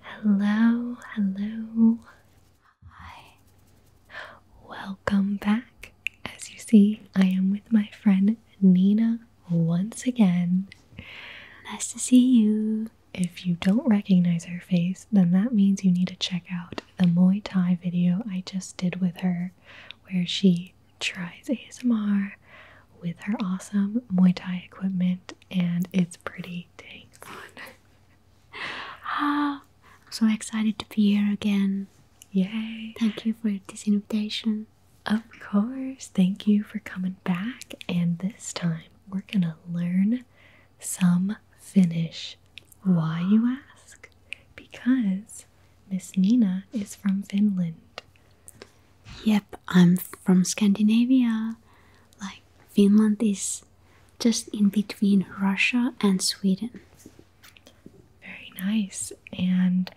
Hello, hello. Hi. Welcome back. As you see, I am with my friend Nina once again. Nice to see you. If you don't recognize her face, then that means you need to check out the Muay Thai video I just did with her where she tries ASMR with her awesome Muay Thai equipment and it's pretty dang fun. ah, I'm so excited to be here again. Yay! Thank you for this invitation. Of course, thank you for coming back. And this time we're gonna learn some Finnish. Why, you ask? Because Miss Nina is from Finland. Yep, I'm from Scandinavia. Like Finland is just in between Russia and Sweden. Very nice. And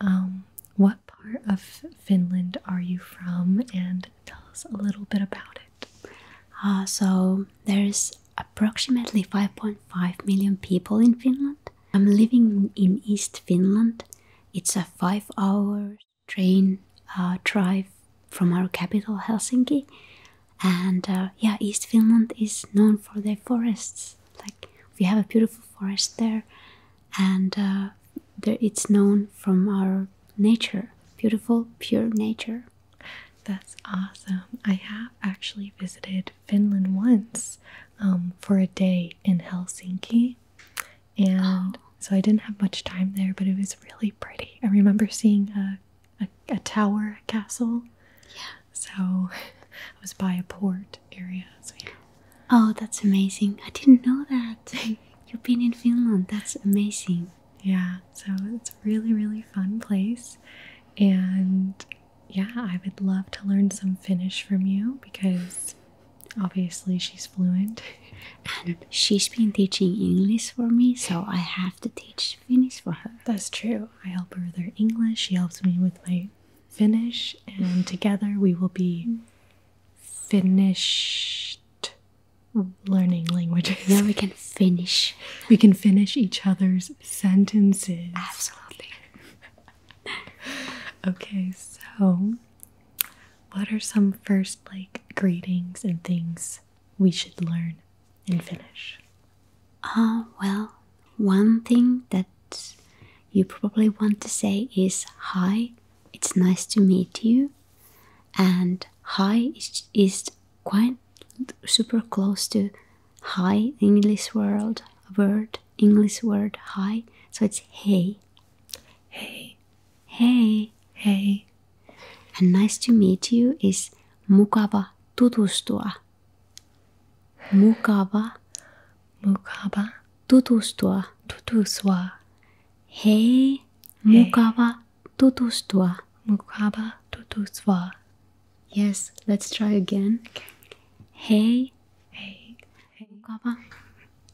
um, what part of Finland are you from? And tell us a little bit about it. Uh, so there's approximately 5.5 million people in Finland. I'm living in East Finland. It's a five hour train uh, drive from our capital Helsinki. And uh, yeah, East Finland is known for their forests. Like we have a beautiful forest there, and uh, there it's known from our nature, beautiful, pure nature. That's awesome. I have actually visited Finland once um, for a day in Helsinki and so I didn't have much time there, but it was really pretty. I remember seeing a a, tower, a castle. Yeah. So it was by a port area. So yeah. Oh, that's amazing! I didn't know that. You've been in Finland. That's amazing. Yeah. So it's really really fun place, and yeah, I would love to learn some Finnish from you because obviously she's fluent and she's been teaching English for me, so I have to teach Finnish for her. That's true. I help her with her English, she helps me with my Finnish, and together we will be finished learning languages. Yeah, we can finish. We can finish each other's sentences. Absolutely. okay, so what are some first like greetings and things we should learn in Finnish. Ah, uh, well, one thing that you probably want to say is hi, it's nice to meet you. And hi is, is quite super close to hi, English word, word, English word hi. So it's hey. Hey. Hey, hey, And nice to meet you is mukava tutustua. Mukava. Mukava. Tutustua. Tutustua. Hei. Mukava tutustua. Mukava tutustua. Yes, let's try again. Hey. Hey. Hey. Mukava.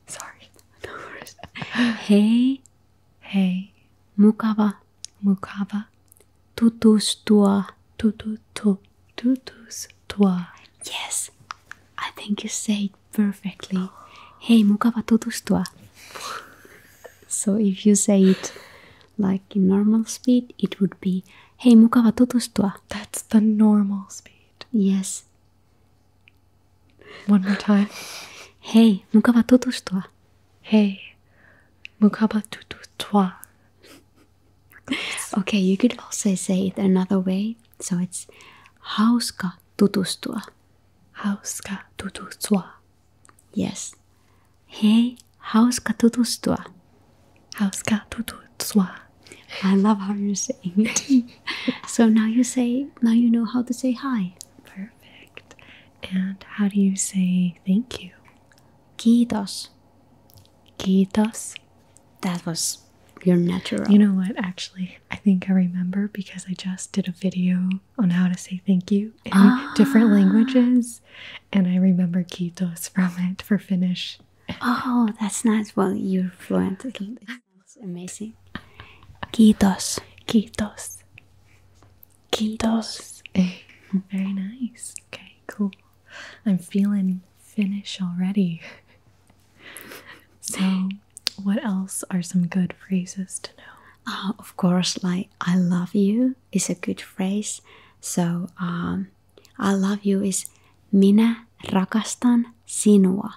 Sorry. No worries. hey. Hey, mukava, mukava, tutus tua, tutu tu, tutus tua. Yes, I think you say it perfectly. Hey, mukava tutus tua. so if you say it like in normal speed, it would be Hey, mukava tutus tua. That's the normal speed. Yes. One more time. Hey, mukaba tutus Hey, mukaba tutus okay, you could also say it another way. So it's hauska tutustua. Hauska tutustua. Yes. Hey, hauska tutustua. Hauska tutustua. I love how you're saying it. so now you say, now you know how to say hi. Perfect. And how do you say thank you? Kiitos. Kiitos. That was your natural. You know what? Actually, I think I remember because I just did a video on how to say thank you in ah. different languages, and I remember Kiitos from it for Finnish. Oh, that's nice. Well, you're fluent. That's amazing. Kiitos. Kiitos. Quintos. Eh, very nice. Okay, cool. I'm feeling Finnish already. so, what else are some good phrases to know? Uh, of course, like I love you is a good phrase. So, um, I love you is minä rakastan sinua.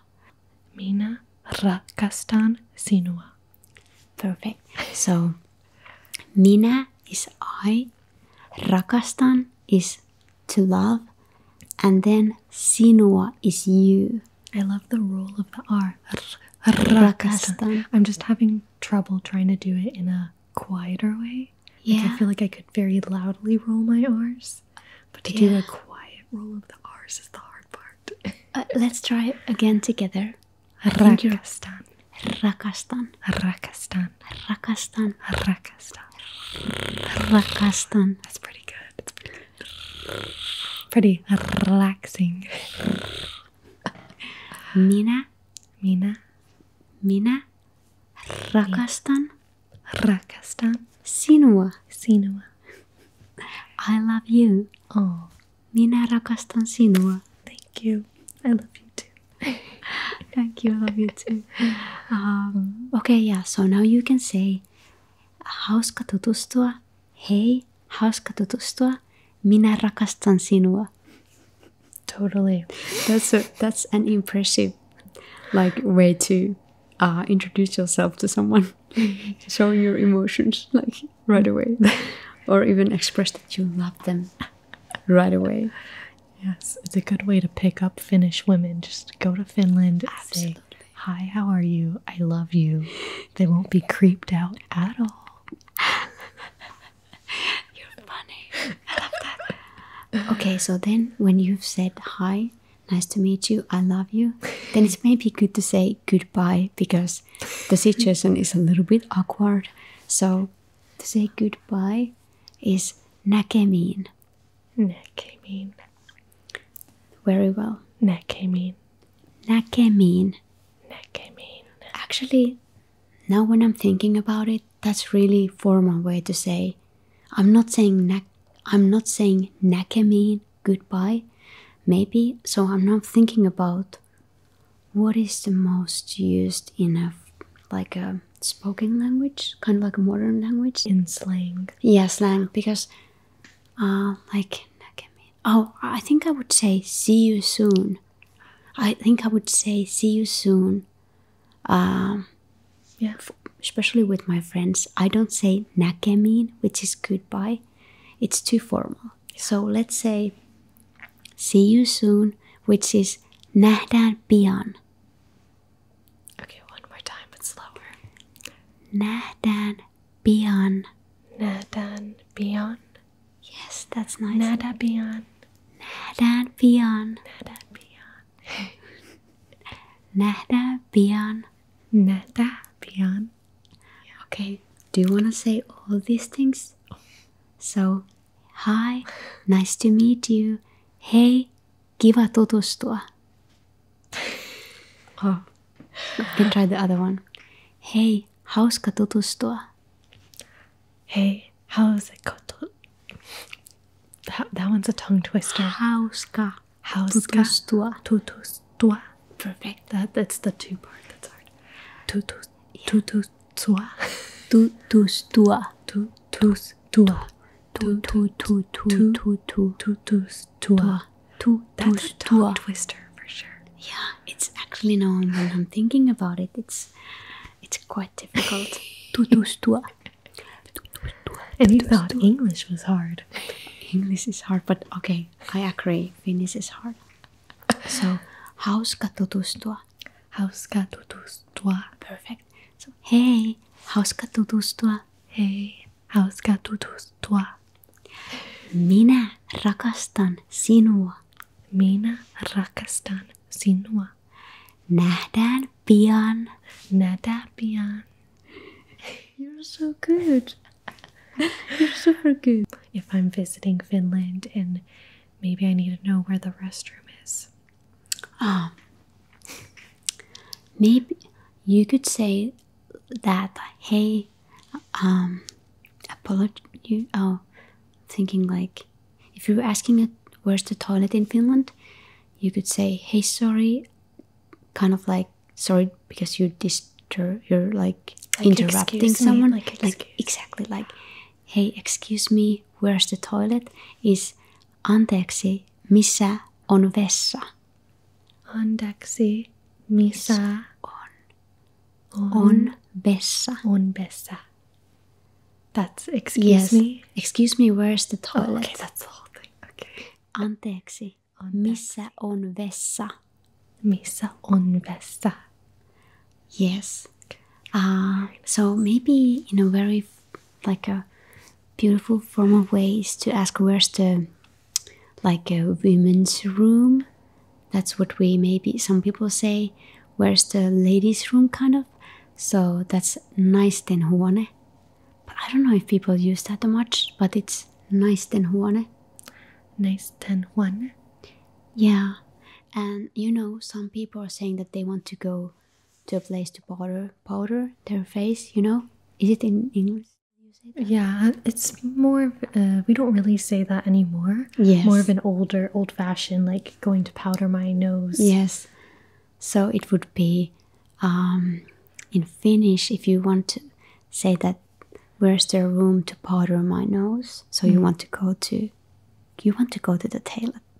Mina rakastan sinua. Perfect. So, Mina is I, rakastan is to love, and then sinua is you. I love the roll of the R. rakastan. I'm just having trouble trying to do it in a quieter way. Yeah. I feel like I could very loudly roll my R's, but to do a quiet roll of the R's is the hard part. Uh, let's try again together. Rakhastan, Rakhastan, Rakhastan, Rakhastan, Rakhastan, Rakastan. That's pretty good. pretty relaxing. Mina. Mina. Mina. Rakhastan, Rakhastan. Sinua. Sinua. I love you. Oh, Minä rakastan sinua. Thank you. I love you too. Thank you. I love you too. Um, okay, yeah. So now you can say, hauska tutustua. Hey, hauska tutustua. Minä rakastan sinua. Totally. That's a, that's an impressive like way to uh, introduce yourself to someone. showing your emotions like right away or even express that you love them right away yes it's a good way to pick up finnish women just go to finland Absolutely. hi how are you i love you they won't be creeped out at all you're funny i love that okay so then when you've said hi nice to meet you i love you then it's maybe good to say goodbye because the situation is a little bit awkward. So to say goodbye is nakemin. Nakemin. Very well. Nakemin. Nakemin. Nakemin. Actually, now when I'm thinking about it, that's really formal way to say. I'm not saying nak. I'm not saying nakemin goodbye, maybe. So I'm not thinking about what is the most used in a like a spoken language, kind of like a modern language in slang. Yeah, slang because, uh, like oh, I think I would say see you soon. I think I would say see you soon. Um, yeah. especially with my friends, I don't say näkemiin, which is goodbye. It's too formal. So let's say see you soon, which is nähdään pian. Okay, one more time, but slower. Nähdään pian. Nähdään pian. Yes, that's nice. Nähdään pian. Nähdään pian. Nähdään pian. Nähdään pian. Okay, do you want to say all these things? So, hi, nice to meet you. Hey, giva todos toa. Oh, you can try the other one. Hey, how's ka todos Hey, how's it ka that, one's a tongue twister. How's ka todos toa? Todos toi. Perfect. That that's the two part that's hard. Tu tus tu tus toi. Tu tus toi. Tu tus toi. Tu tu tu tu tu tu tu tus toi. Tu tus toi. Twister for sure. Yeah, it's actually now when I'm thinking about it, it's it's quite difficult. Tu tus toi. And you thought English was hard. English is hard, but okay, I agree. Finnish is hard. So, hauska tutustua. Hauska tutustua. Perfect. So, hei, hauska tutustua. Hei, hauska tutustua. Minä rakastan sinua. Minä rakastan sinua. Nähdään pian. Nähdään pian. You're so good. If I'm visiting Finland and maybe I need to know where the restroom is. Um, maybe you could say that, hey, um, apologize. You, oh, thinking like, if you were asking where's the toilet in Finland, you could say, hey, sorry, kind of like sorry because you disturb you're like, like interrupting someone me, like, like exactly like hei excuse me where's the toilet is anteeksi missä on vessa anteeksi missä on on, on vessa on vessa that's excuse yes. me excuse me where's the toilet oh, okay that's the whole thing okay anteeksi on Missä on vessa? Missä on vessa? Yes. Uh, so maybe in a very like a beautiful formal way is to ask where's the like a women's room. That's what we maybe some people say. Where's the ladies' room kind of? So that's nice then, huone. But I don't know if people use that much, but it's nice then, huone nice ten one. Yeah, and you know some people are saying that they want to go to a place to powder powder their face. You know, is it in English? Yeah, uh, it's more. Uh, we don't really say that anymore. Yes, more of an older, old-fashioned, like going to powder my nose. Yes, so it would be um, in Finnish if you want to say that where's there room to powder my nose? So you mm. want to go to you want to go to the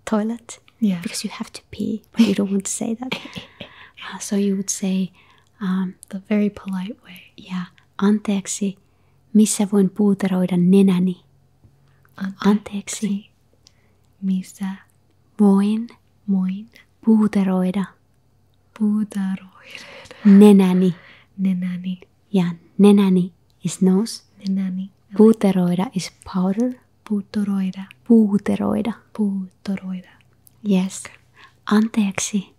toilet Yeah. Because you have to pee, but you don't want to say that. Uh, so you would say um, the very polite way. Yeah. Anteeksi, missä voin puuteroida nenäni? Anteeksi. Anteeksi. Missä voin, voin puuteroida Puutarhoinen. Nenäni. Nenäni. Ja nenäni is nose. Nenäni. Puuteroida is powder. Puuteroida. Puuteroida. Puuteroida. Yes. Okay. Anteeksi.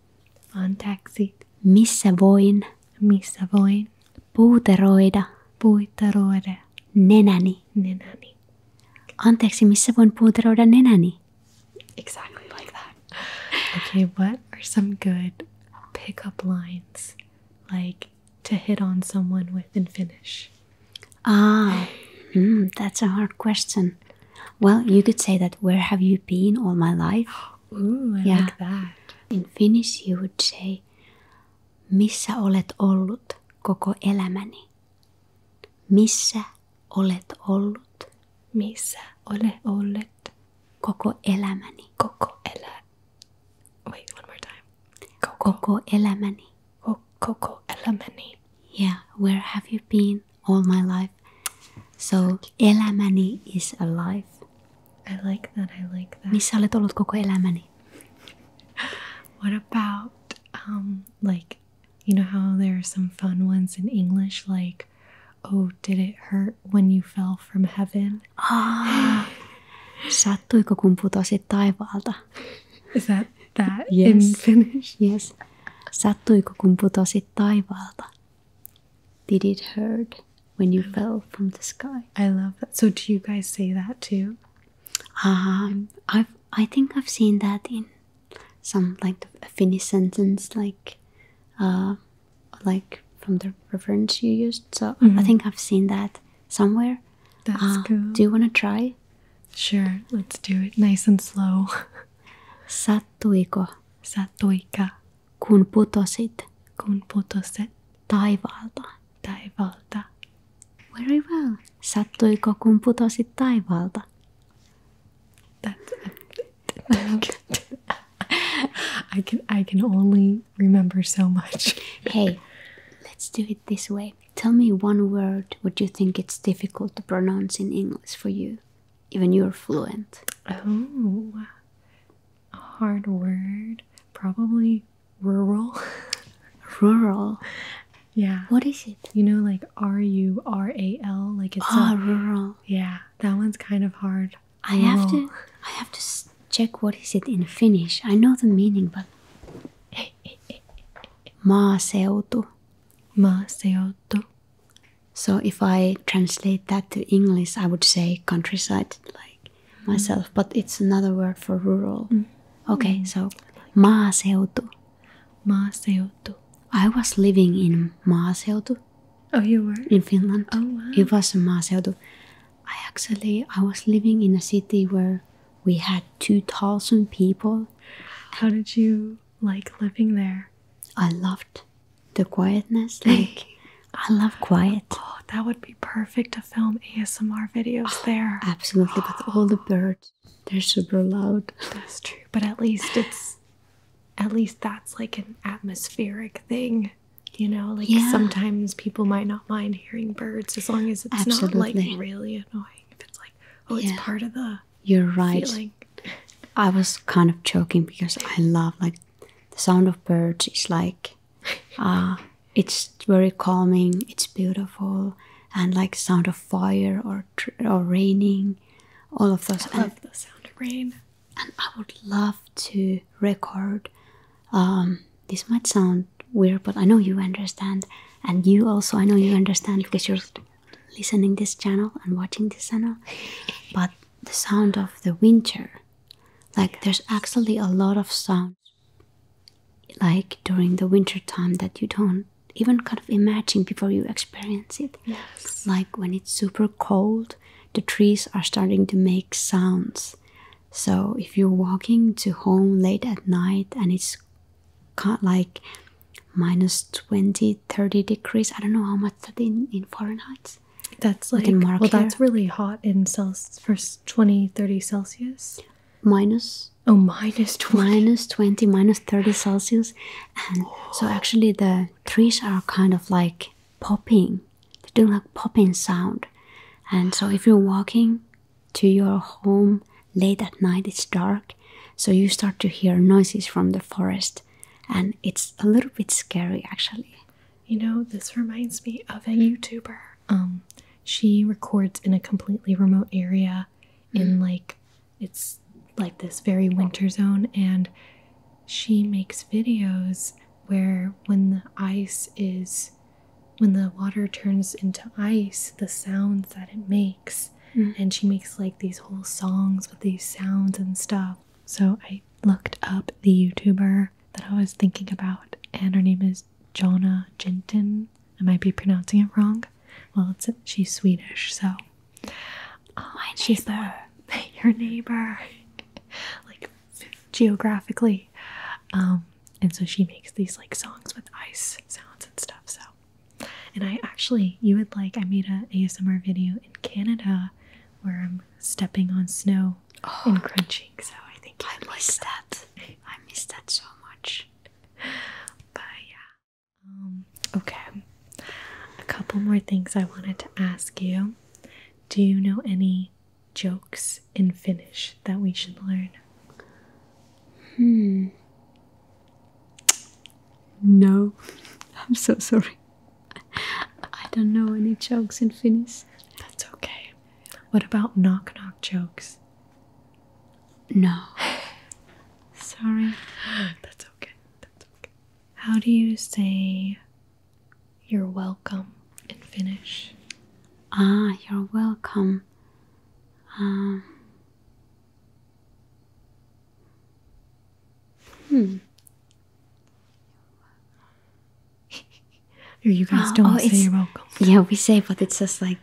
Anteeksi. Missä voin? Missä voin? Puuteroida. Puuteroida. Nenäni. Nenäni. Anteeksi, missä voin puuteroida nenäni? exactly like that. okay, what are some good pickup lines like to hit on someone with in Finnish? Ah, hmm, that's a hard question. Well, you could say that where have you been all my life? Ooh, I like that. In Finnish, you would say missä olet ollut koko elämäni? Missä olet ollut missä ole ole Coco elämäni. Koko elä... Wait, one more time. Koko, elämäni. Ko, koko elämäni. Yeah, where have you been all my life? So, elämäni is alive. I like that, I like that. Misale olet Coco koko elämäni? what about, um, like, you know how there are some fun ones in English, like, oh, did it hurt when you fell from heaven? Ah, sattuiko kun putosit taivaalta? Is that that yes. in Finnish? Yes. Sattuiko kun putosit taivaalta? Did it hurt when you fell from the sky? I love that. So do you guys say that too? Um, I've I think I've seen that in some like Finnish sentence like uh, like from the reference you used. So I mm-hmm. think I've seen that somewhere. That's uh, cool. Do you want to try? Sure, let's do it nice and slow. Sattuiko. Sattuika. Kun putosit. Kun putosit. Taivaalta. Taivaalta. Very well. Sattuiko kun putosit taivaalta? That's, I can I can only remember so much. hey, let's do it this way. Tell me one word what you think it's difficult to pronounce in English for you. Even you're fluent. Oh hard word. Probably rural. rural. Yeah. What is it? You know like R U R A L like it's Ah, rural. Yeah. That one's kind of hard. I have to. Oh. I have to check what is it in Finnish. I know the meaning, but. Maaseutu. Maaseutu. So if I translate that to English, I would say countryside, like mm. myself. But it's another word for rural. Mm. Okay, mm. so maaseutu. Maaseutu. I was living in maaseutu. Oh, you were? In Finland. Oh, wow. It was amazing. I actually, I was living in a city where we had 2,000 people. How did you like living there? I loved the quietness. Like, I love quiet. Oh, that would be perfect to film ASMR videos oh, there. Absolutely, but all the birds, they're super loud. That's true, but at least it's at least that's like an atmospheric thing you know like sometimes people might not mind hearing birds as long as it's not like really annoying if it's like oh it's part of the you're right feeling. i was kind of joking because i love like the sound of birds It's like ah, it's very calming it's beautiful and like sound of fire or or raining all of those I love the sound of rain and I would love to record. Um, this might sound weird, but I know you understand, and you also I know you understand because you're listening this channel and watching this channel. But the sound of the winter, like there's actually a lot of sound, like during the winter time that you don't even kind of imagine before you experience it. Yes. Like when it's super cold the trees are starting to make sounds. So if you're walking to home late at night and it's like minus 20, 30 degrees, I don't know how much that in, in Fahrenheit. That's like, well, that's really hot in Celsius, first 20, 30 Celsius. Minus. Oh, minus 20. Minus 20, minus 30 Celsius. so actually the trees are kind of like popping. They do like popping sound. And so if you're walking to your home late at night, it's dark, so you start to hear noises from the forest. And it's a little bit scary actually. You know, this reminds me of a YouTuber. Um, she records in a completely remote area in mm. like it's like this very winter zone and she makes videos where when the ice is when the water turns into ice the sounds that it makes mm-hmm. and she makes like these whole songs with these sounds and stuff so i looked up the youtuber that i was thinking about and her name is jonna jentin i might be pronouncing it wrong well it's she's swedish so Oh, and she's neighbor. your neighbor, like geographically, um, and so she makes these like songs with ice sounds and stuff. So, and I actually, you would like, I made a ASMR video in Canada where I'm stepping on snow oh. and crunching. So I think I missed that. I missed that so much. But yeah. Um, okay. A couple more things I wanted to ask you. Do you know any jokes in Finnish that we should learn? Hmm. No, I'm so sorry. I don't know any jokes in Finnish. That's okay. What about knock knock jokes? No. Sorry. That's okay. That's okay. How do you say you're welcome And finish. Ah, you're welcome. Um, hmm. you guys oh, do Yeah, we say, but it's just like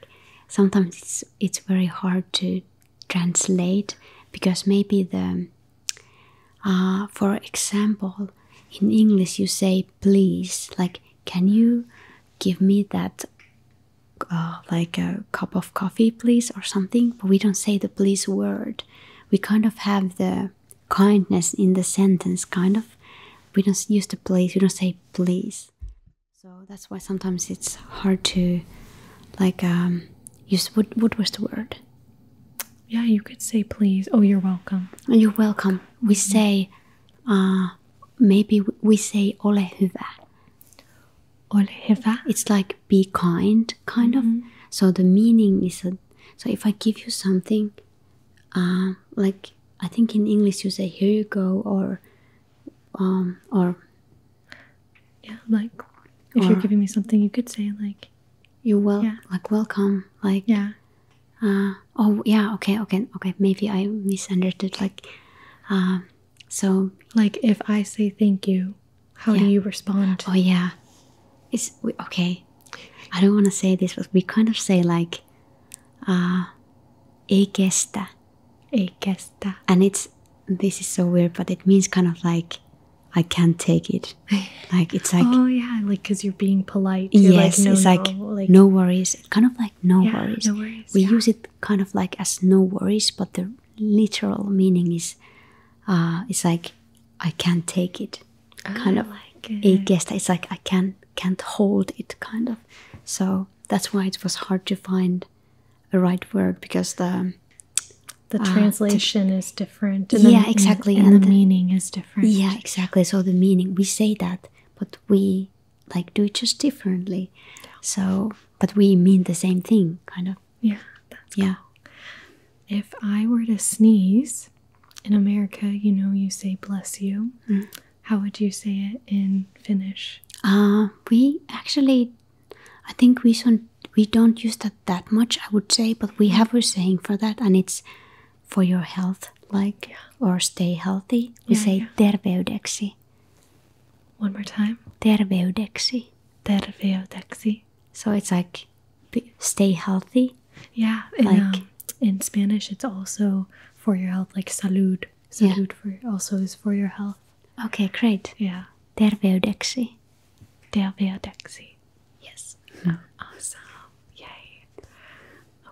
sometimes it's it's very hard to translate because maybe the Ah, for example, in English you say please, like can you give me that uh, like a cup of coffee please or something, but we don't say the please word. We kind of have the kindness in the sentence, kind of. We don't use the please, we don't say please. So that's why sometimes it's hard to like um, use what was the word? Yeah, you could say please. Oh, you're welcome. You're welcome. We mm-hmm. say, uh, maybe we say ole hyvä. It's like be kind, kind of. Mm-hmm. So the meaning is a, so if I give you something, uh, like I think in English you say here you go or, um, or. Yeah, like if you're giving me something, you could say like you will like welcome like yeah uh, oh yeah okay okay okay maybe i misunderstood like uh, so like if i say thank you how do you respond oh yeah it's okay i don't want to say this but we kind of say like ah, uh, equesta equesta And it's this is so weird, but it means kind of like I can't take it. Like it's like oh yeah, like because you're being polite. yes, it's like no, worries. Kind of like no worries. No worries. We use it kind of like as no worries, but the literal meaning is, uh, it's like I can't take it. kind ah, of like it. it it's like I can't can't hold it. Kind of. So that's why it was hard to find a right word because the the uh, translation is different and yeah the, exactly and, the, meaning is different yeah exactly so the meaning we say that but we like do it just differently so but we mean the same thing kind of yeah yeah if i were to sneeze in america you know you say bless you mm. how would you say it in finnish uh, we actually i think we should we don't use that that much, I would say, but we have a saying for that, and it's for your health, like or stay healthy. We say yeah. One more time. Terveydeksi. Terveydeksi. So it's like stay healthy. Yeah, in, um, like in Spanish, it's also for your health, like salud. Salud for also is for your health. Okay, great. Yeah. Terveydeksi. Terveydeksi. Yes. Mm -hmm. Awesome. Yay.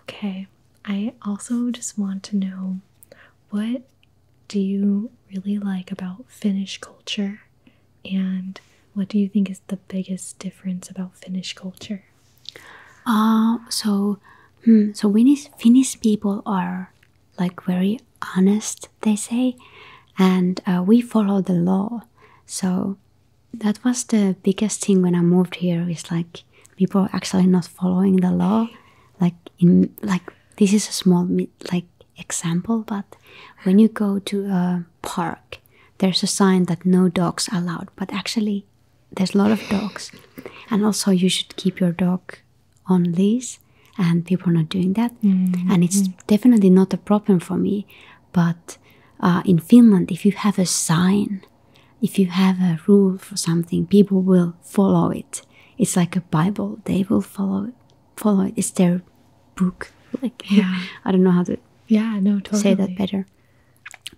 Okay. I also just want to know what do you really like about Finnish culture and what do you think is the biggest difference about Finnish culture? Uh, so hmm, so Finnish, Finnish people are like very honest, they say, and uh, we follow the law. So that was the biggest thing when I moved here is like people are actually not following the law. Like in like this is a small like example, but when you go to a park, there's a sign that no dogs allowed, but actually there's a lot of dogs, and also you should keep your dog on leash, and people are not doing that, mm-hmm. and it's mm-hmm. definitely not a problem for me, but uh, in Finland, if you have a sign, if you have a rule for something, people will follow it. It's like a Bible; they will follow it. Follow it. It's their book. Like yeah. I don't know how to yeah no totally. say that better.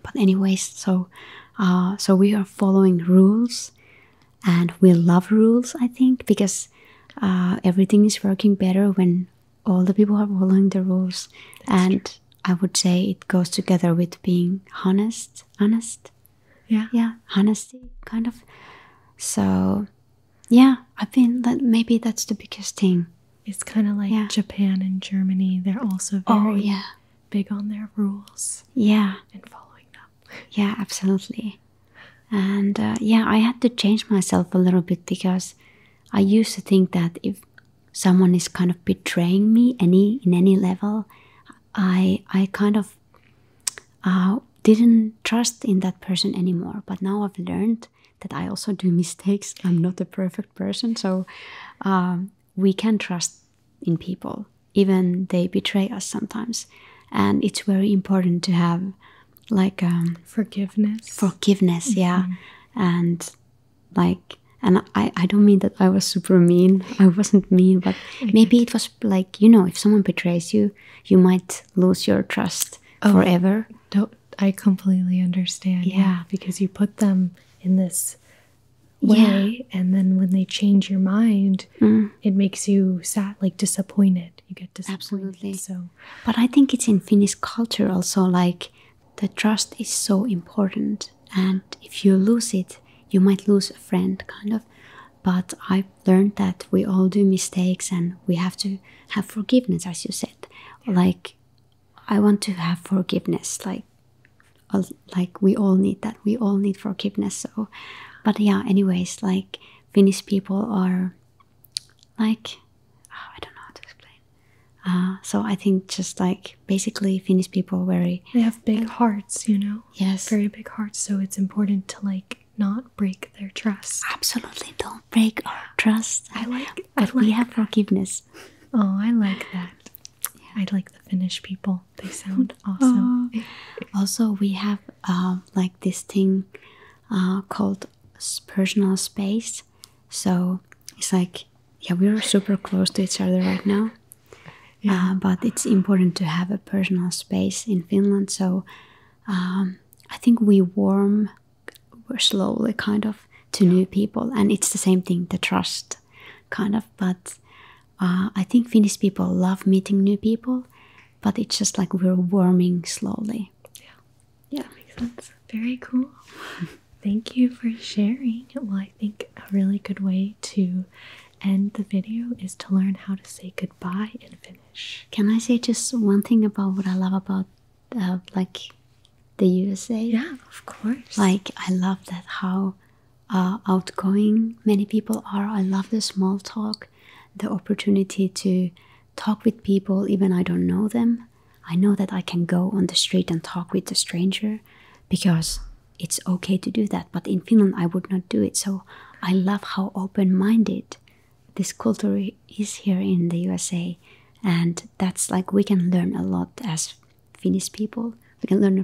But anyways, so uh, so we are following rules, and we love rules. I think because uh, everything is working better when all the people are following the rules and I would say it goes together with being honest, honest. Yeah. Yeah, honesty kind of. So, yeah, I've been that maybe that's the biggest thing. It's kind of like Japan and Germany. They're also oh, very oh, yeah. big on their rules. Yeah. And following them. yeah, absolutely. And uh, yeah, I had to change myself a little bit because I used to think that if someone is kind of betraying me any in any level, I I kind of uh, didn't trust in that person anymore. But now I've learned that I also do mistakes. I'm not a perfect person, so um, we can trust in people, even they betray us sometimes. And it's very important to have like um, forgiveness. Forgiveness, yeah, mm-hmm. and like, and I I don't mean that I was super mean. I wasn't mean, but maybe it was like you know, if someone betrays you, you might lose your trust oh, forever. do I completely understand. Yeah. because you put them in this way and then when they change your mind mm. it makes you sad like disappointed you get disappointed Absolutely. so but I think it's in Finnish culture also like the trust is so important, and if you lose it, you might lose a friend, kind of. But I've learned that we all do mistakes and we have to have forgiveness, as you said. Like, I want to have forgiveness. Like, like we all need that. We all need forgiveness. So, but yeah. Anyways, like Finnish people are like oh, I don't know how to explain. Uh, so I think just like basically Finnish people very they have big hearts, you know. Yes, very big hearts. So it's important to like not break their trust. Absolutely, don't break our trust. I like. we have forgiveness. Oh, I like that. Yeah. I like the Finnish people. They sound awesome. also, we have uh, like this thing uh, called personal space. So it's like, yeah, we're super close to each other right now. Yeah. Uh, but it's important to have a personal space in Finland. So um, I think we warm we're slowly kind of to new people. And it's the same thing, the trust kind of. But uh, I think Finnish people love meeting new people, but it's just like we're warming slowly. Yeah. Yeah, makes sense. Very cool. Thank you for sharing. Well, I think a really good way to end the video is to learn how to say goodbye and finish. Can I say just one thing about what I love about uh, like the USA? Yeah, of course. Like I love that how uh, outgoing many people are. I love the small talk, the opportunity to talk with people even I don't know them. I know that I can go on the street and talk with a stranger because it's okay to do that. But in Finland, I would not do it. So I love how open minded this culture is here in the USA. And that's like we can learn a lot as Finnish people. We can learn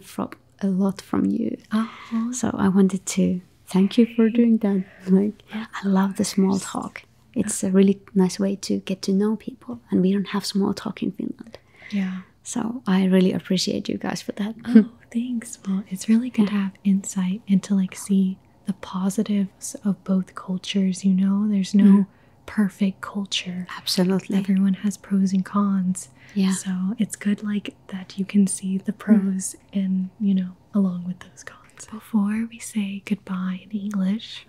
a lot from you. Uh-huh. So I wanted to thank you for doing that. Like I love the small talk. It's a really nice way to get to know people, and we don't have small talk in Finland. Yeah. So I really appreciate you guys for that. Oh, thanks. Well, it's really good to have insight and to like see the positives of both cultures. You know, there's no mm-hmm. perfect culture. Absolutely. Everyone has pros and cons. Yeah. So it's good like that you can see the mm-hmm. pros and, you know, along with those cons. Before we say goodbye in English,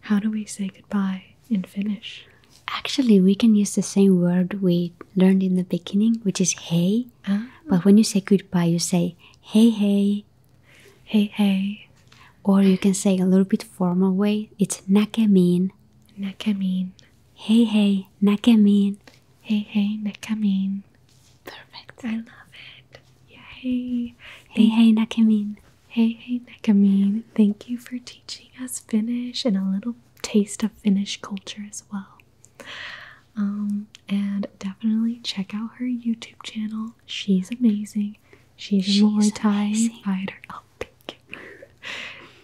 how do we say goodbye in Finnish? Actually, we can use the same word we learned in the beginning, which is hey. Ah. But when you say goodbye, you say hey, hey. Hey, hey. Or you can say a little bit formal way. It's näkemiin. Näkemiin. Hey, hey, näkemiin. Hey, hey, näkemiin. Perfect. I love it. Yeah, hey. Hey, hey, Nakamin. Hey, hey, Nakamin. Thank you for teaching us Finnish and a little taste of Finnish culture as well. Um, and definitely check out her YouTube channel. She's amazing. She's, She's a Muay Thai fighter. Oh,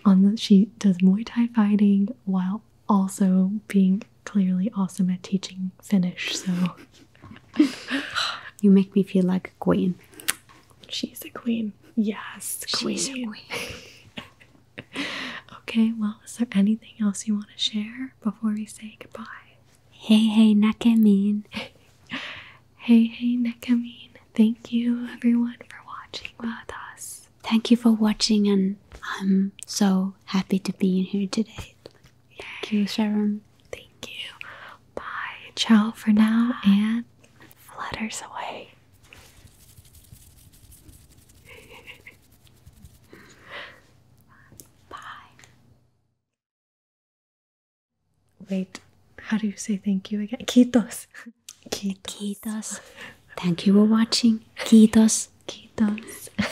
On the, she does Muay Thai fighting while also being clearly awesome at teaching Finnish. So you make me feel like a queen. She's a queen. Yes, queen. a queen. okay, well, is there anything else you want to share before we say goodbye? Hey, hey, Nakamin. hey, hey, Nakamin. Thank you, everyone, for watching with us. Thank you for watching, and I'm so happy to be in here today. Thank you, Sharon. Thank you. Bye. Ciao for now and flutters away. Bye. Wait, how do you say thank you again? Quitos. Quitos. Thank you for watching. Quitos. Quitos.